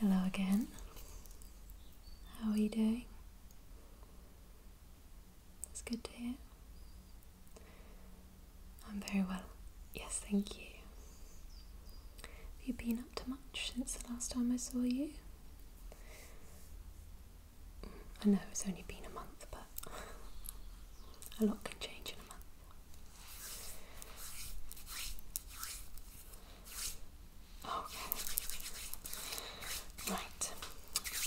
Hello again. How are you doing? It's good to hear. I'm very well. Yes, thank you. Have you been up to much since the last time I saw you? I know it's only been a month, but a lot can change in a month. Okay. Right.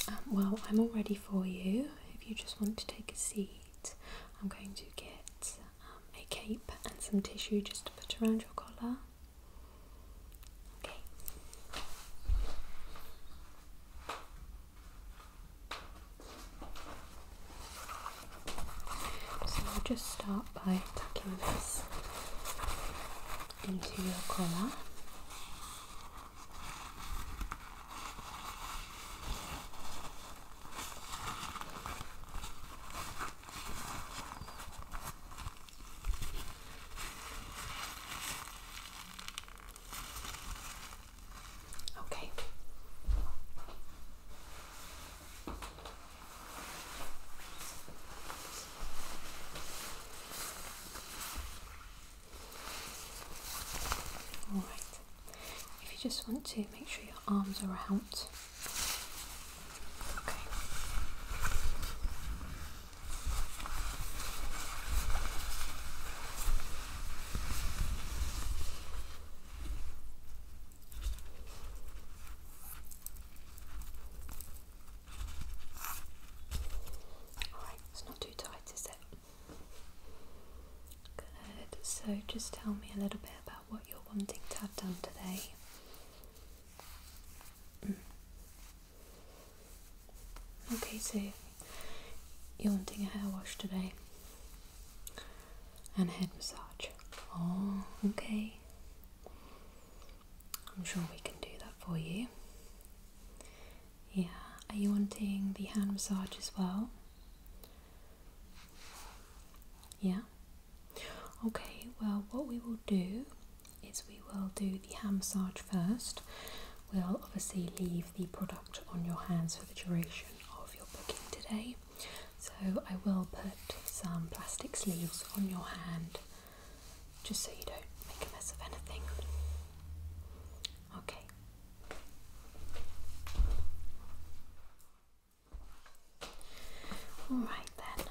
Um, well, I'm all ready for you. If you just want to take a seat, I'm going to get um, a cape and some tissue just to put around your collar. Okay. So we'll just start by tucking this into your collar. Okay. Alright, if you just want to make sure your arms are out. Okay. Alright, it's not too tight, is it? Good, so just tell me a little bit about what you're wanting to have done today. Mm. Okay, so you're wanting a hair wash today and head massage. Oh, okay. I'm sure we can do that for you. Yeah, are you wanting the hand massage as well? Yeah? Okay, well, what we will do is we will do the hand massage first. We'll obviously leave the product on your hands for the duration of your booking today. So I will put some plastic sleeves on your hand just so you don't make a mess of anything. Okay. All right then.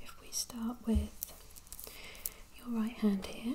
If we start with your right hand here.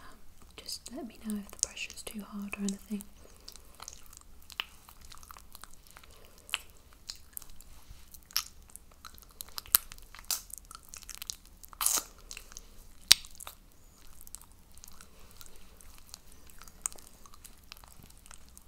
Um, just let me know if the pressure is too hard or anything.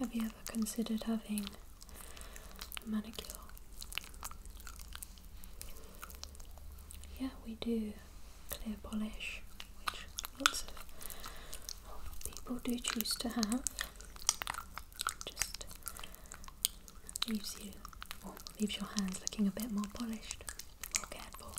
Have you ever considered having manicure. Yeah, we do clear polish, which lots of people do choose to have. Just leaves you, leaves your hands looking a bit more polished, more careful.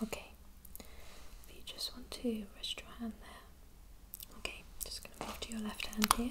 Okay, if you just want to rest your hand there. Okay, just going to move to your left hand here.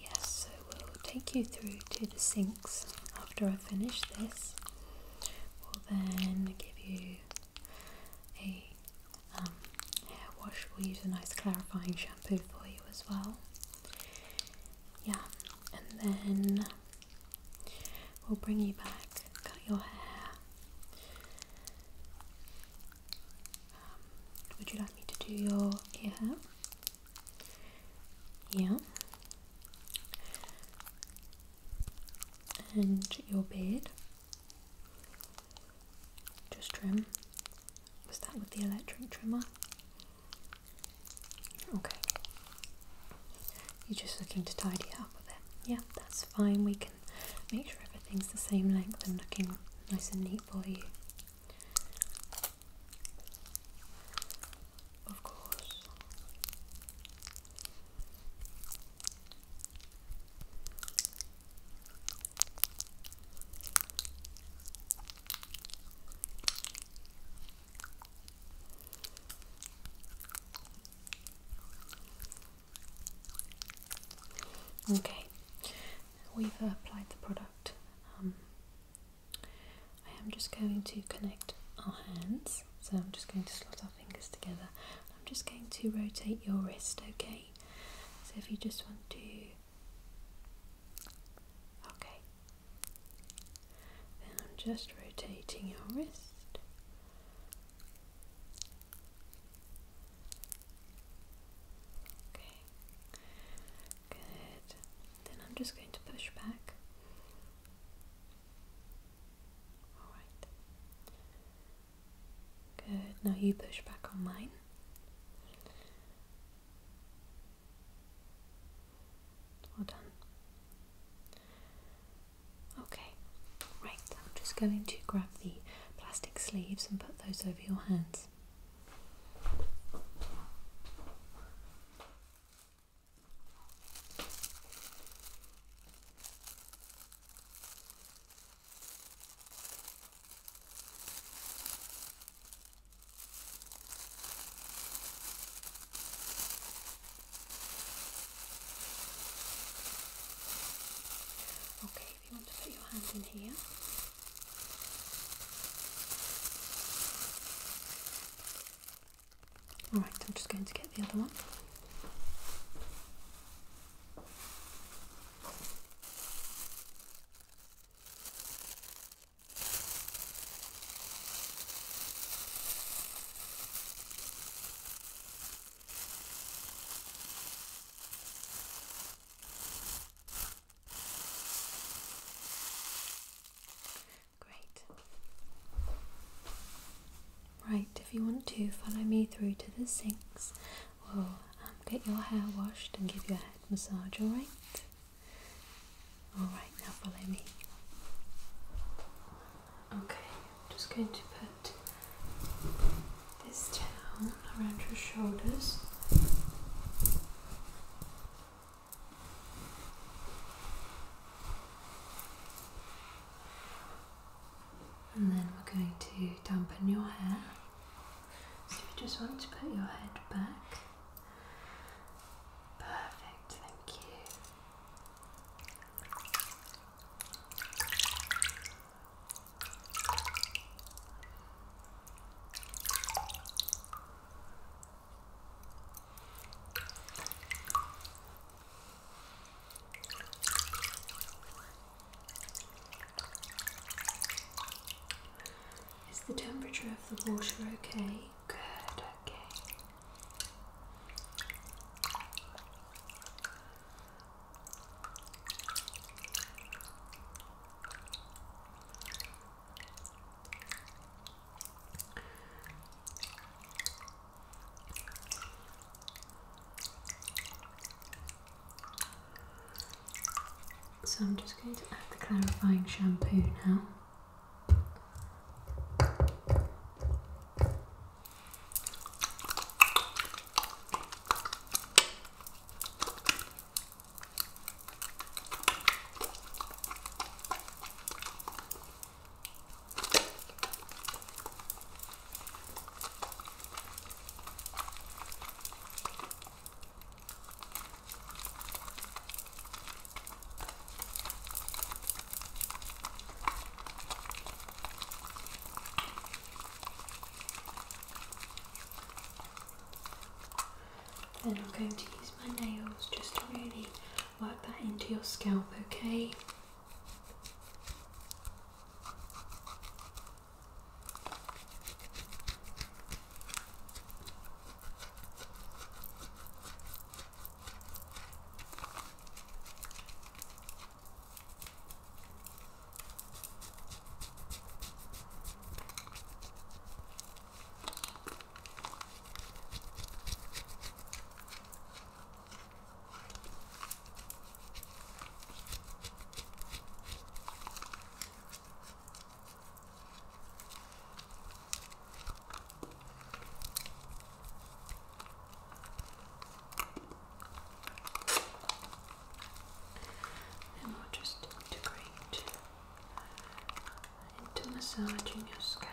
Yes, so we'll take you through to the sink after I finish this we will then give you a um, hair wash. We'll use a nice clarifying shampoo for you as well. Yeah, and then we'll bring you back, cut your hair. Um, would you like me to do your ear hair? Yeah, and your beard. Just trim. Was that with the electric trimmer? Okay. You're just looking to tidy up a bit. Yeah, that's fine. We can make sure everything's the same length and looking nice and neat for you of course. Okay, we've applied the product. Um, I am just going to connect our hands. So I'm just going to slot our fingers together. I'm just going to rotate your wrist, okay? So if you just want to. Okay. Then I'm just rotating your wrist. Okay. Good. Then I'm just going to push back. Good. Now you push back on mine. Well done. Okay, right, I'm just going to grab the plastic sleeves and put those over your hands. Okay, if you want to put your hand in here. Alright, I'm just going to get the other one. Great. Right, if you want to follow me through to the sinks, we'll um, get your hair washed and give you a head massage, alright? Alright, now follow me. Okay, I'm just going to put this down around your shoulders. And then we're going to dampen your hair. So you just want to put your head back. Perfect, thank you. Is the temperature of the water okay? Good, okay. So I'm just going to add the clarifying shampoo now. Then I'm going to use my nails just to really work that into your scalp, okay? And we'll just integrate into massaging your scalp.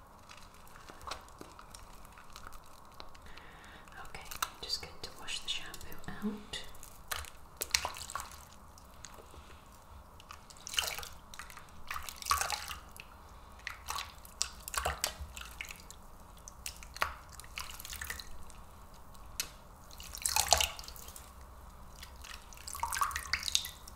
Okay, I'm just going to wash the shampoo out.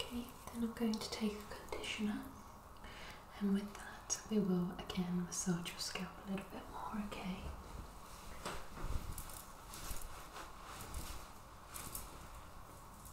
Okay, then I'm going to take a conditioner, and with that, we will again massage your scalp a little bit more, Okay,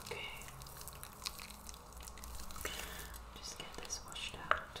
Okay. Just get this washed out.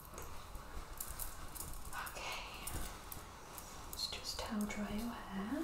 Okay, let's just towel dry your hair.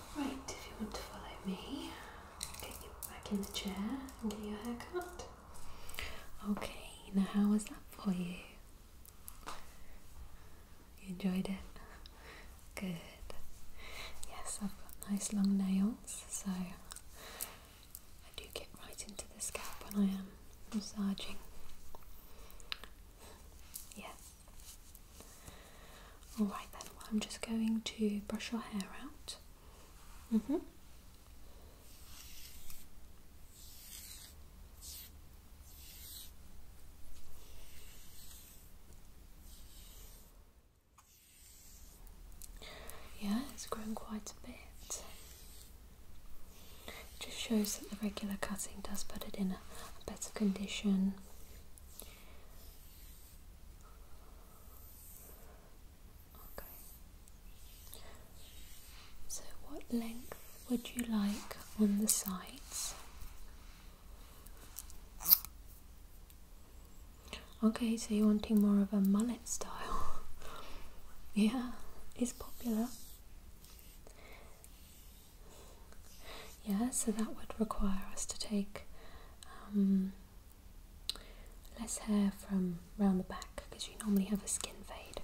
Right, if you want to follow me, get you back in the chair and get your hair cut. Okay, now how was that for you? You enjoyed it? Good. Yes, I've got nice long nails, so I do get right into the scalp when I am massaging. Yeah, Alright then, I'm just going to brush your hair out. Mm-hmm. Yeah, it's grown quite a bit. just shows that the regular cutting does put it in a better condition. Okay. So, what length would you like on the sides? Okay, so you're wanting more of a mullet style. yeah, it's popular. Yeah, so that would require us to take um, less hair from around the back because you normally have a skin fade.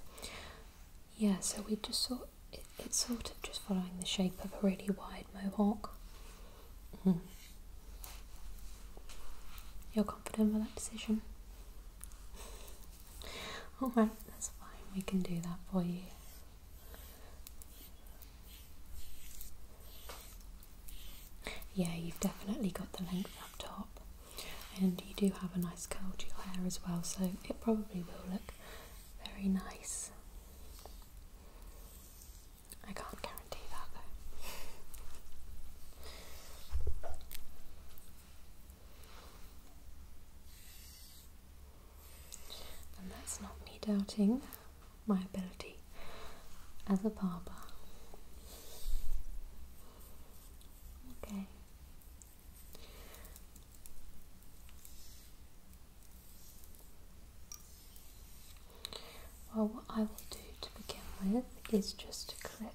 Yeah, so we just sort it, it's sort of just following the shape of a really wide mohawk. Mm-hmm. You're confident with that decision? Alright, that's fine, we can do that for you. Yeah, you've definitely got the length up top, and you do have a nice curl to your hair as well, so it probably will look very nice. I can't guarantee that though. And that's not me doubting my ability as a barber. Okay. Well, what I will do to begin with is just to clip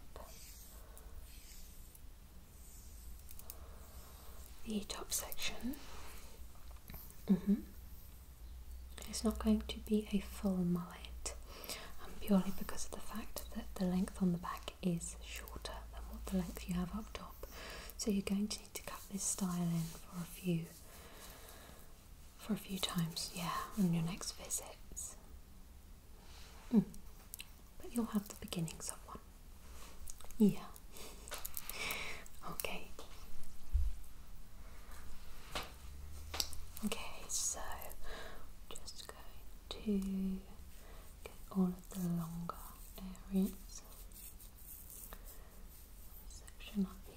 the top section. Mm -hmm. It's not going to be a full mullet um, purely because of the fact that the length on the back is shorter than what the length you have up top. So you're going to need to cut this style in for a few for a few times, yeah, on your next visits. Hmm. But you'll have the beginnings of one. Yeah okay. Okay, so just going to get all of the longer areas. Section up here.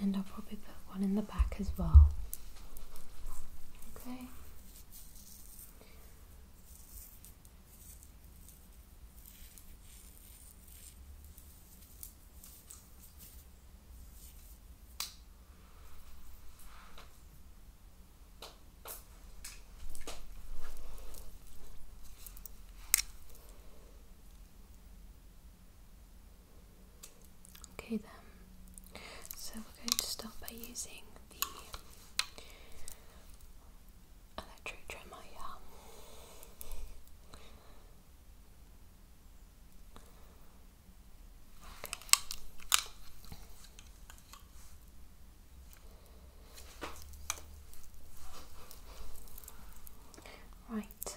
And I'll probably put one in the back as well. Okay. Okay then, so we're going to start by using the electro trimmer here. Right,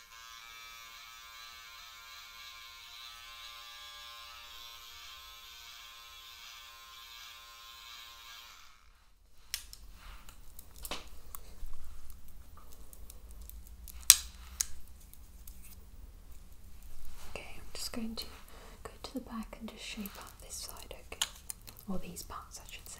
Okay, I'm just going to go to the back and just shape up this side, okay? Or these parts, I should say.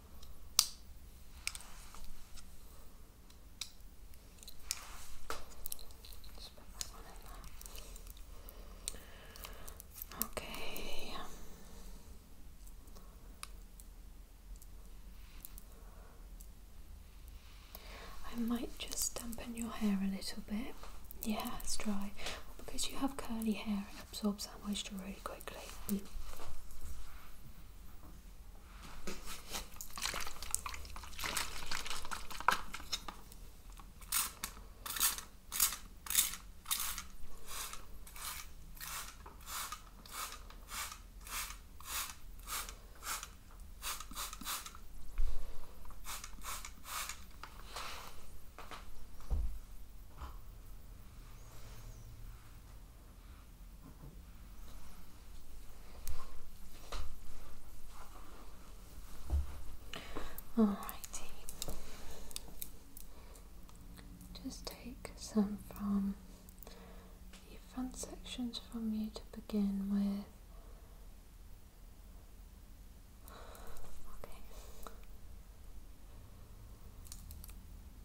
Okay. I might just dampen your hair a little bit. Yeah, it's dry. because you have curly hair, absorbs that moisture really quickly. Mm. Alrighty. Just take some from the front sections from you to begin with. Okay.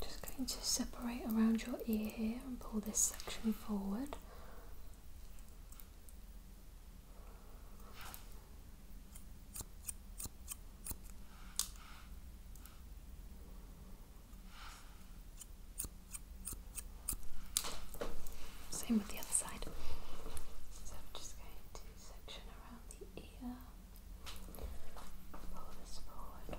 Just going to separate around your ear here and pull this section forward. Same with the other side. So I'm just going to section around the ear, pull this forward.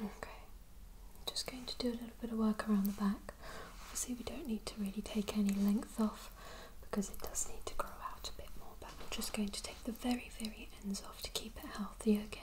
Okay, just going to do a little bit of work around the back. Obviously, we don't need to really take any length off because it does need to grow out a bit more, but I'm just going to take the very, very ends off to keep it healthy, okay?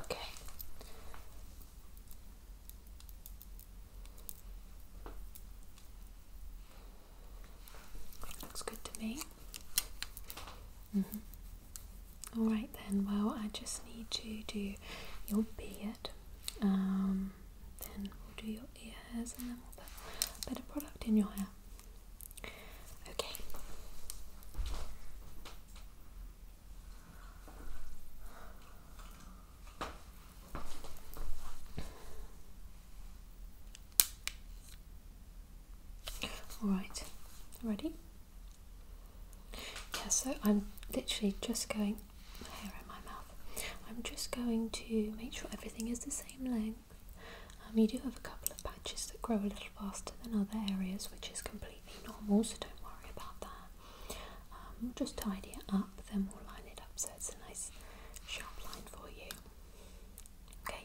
Okay. Looks good to me. Mm-hmm. All right then. Well, I just need to do your beard. Um, then we'll do your ears and then we'll put a bit product in your hair. Okay. All right, ready? Yeah, so I'm literally just going, hair in my mouth, I'm just going to make sure everything is the same length. We um, do have a couple of patches that grow a little faster than other areas, which is completely normal, so don't worry about that. Um, we'll just tidy it up, then we'll line it up so it's a nice sharp line for you. Okay.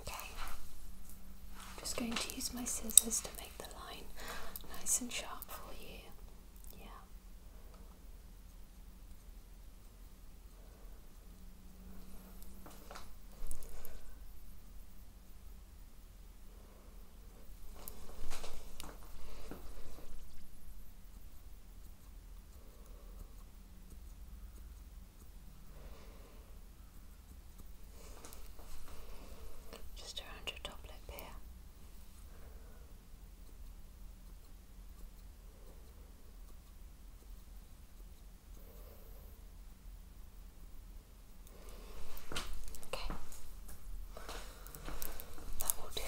Okay, I'm just going to use my scissors to make the line nice and sharp for you. Yeah. Just around your top lip here. Okay. That will do.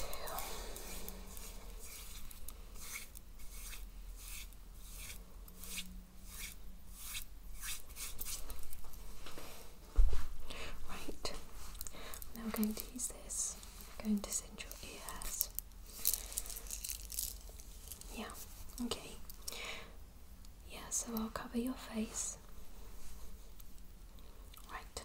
Right, now we're going to use this. I'm going to send your ears. Yeah, okay. Yeah, so I'll cover your face. Right.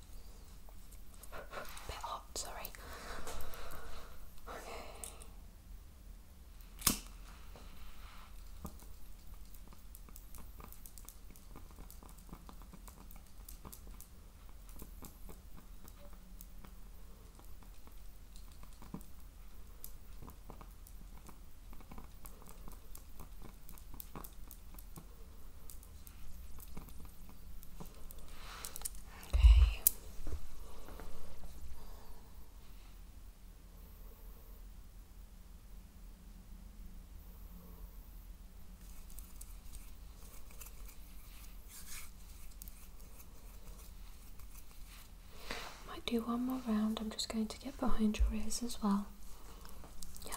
bit hot, sorry. Okay. Okay. Might do one more round. I'm just going to get behind your ears as well. Yeah.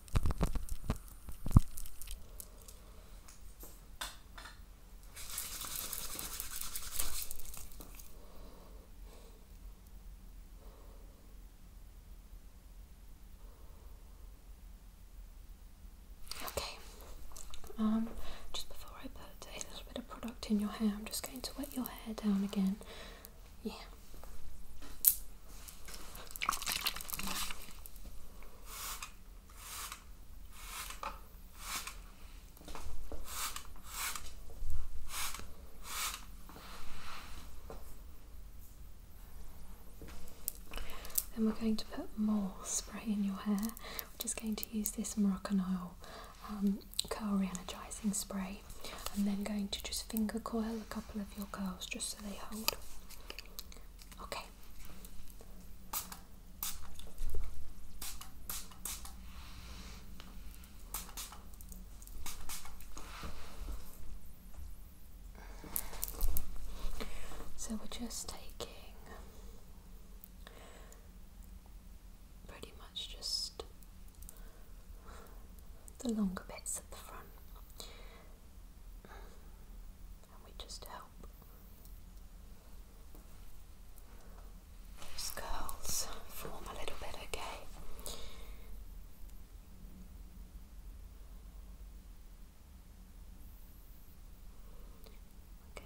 Okay, um, just before I put a little bit of product in your hair, I'm just going to wet your hair down again yeah. Then we're going to put more spray in your hair. We're just going to use this Moroccan oil um, curl reenergizing spray and then going to just finger coil a couple of your curls just so they hold. Okay. So we're just taking pretty much just the longer bits at the front and we just help those curls form a little bit, okay? Okay.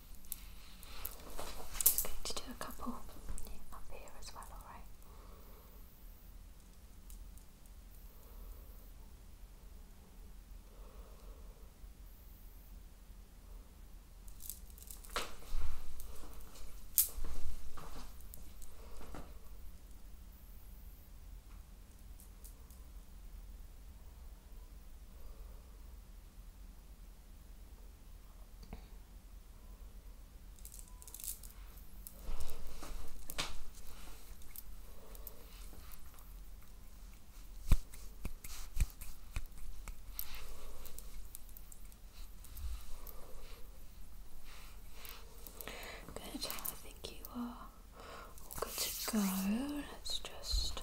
Just going to do a couple up here as well, alright? Good, I think you are good to go it's just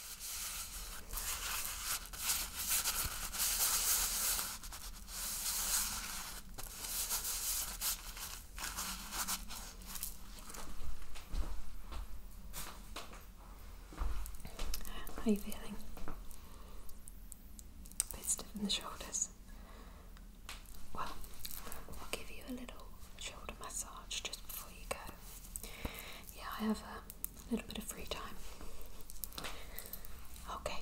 How are you feeling? bit stiff in the shoulders. Well, I'll give you a little shoulder massage just before you go yeah, I have a little bit of free time. Okay.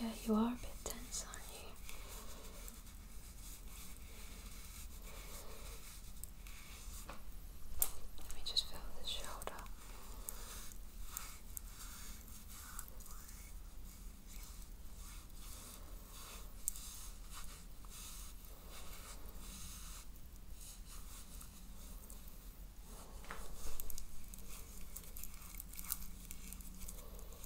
Yeah, you are a bit tense, aren't you? Let me just feel the shoulder.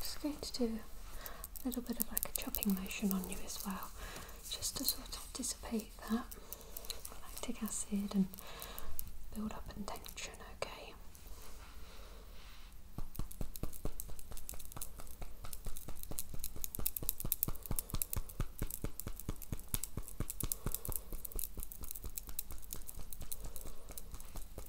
just going to do a little bit of like a chopping motion on you as well, just to sort of dissipate that lactic acid and build up and tension, okay?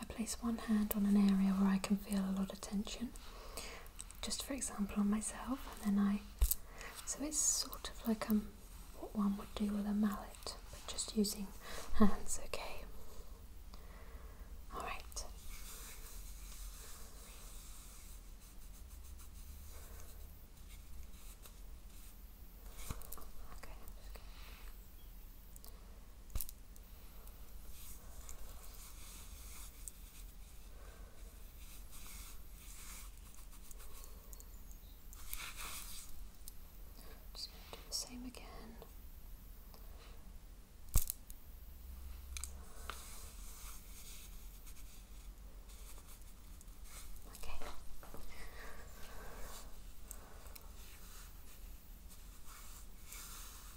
I place one hand on an area where I can feel a lot of tension, just for example on myself, and then I. So it's sort of like um, what one would do with a mallet, but just using hands, okay? Alright. Okay, just going to do the same again. Okay.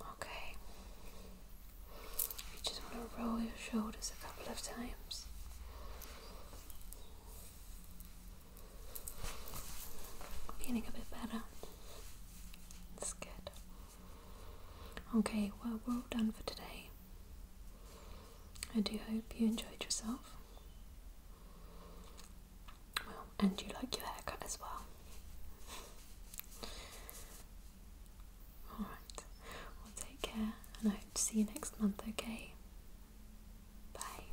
Okay. You just want to roll your shoulders a couple of times. Feeling a bit better. That's good. Okay, well, we're all done for today. I do hope you enjoyed yourself. Well, and you like your haircut as well. Alright, well, take care, and I hope to see you next month, okay? Bye.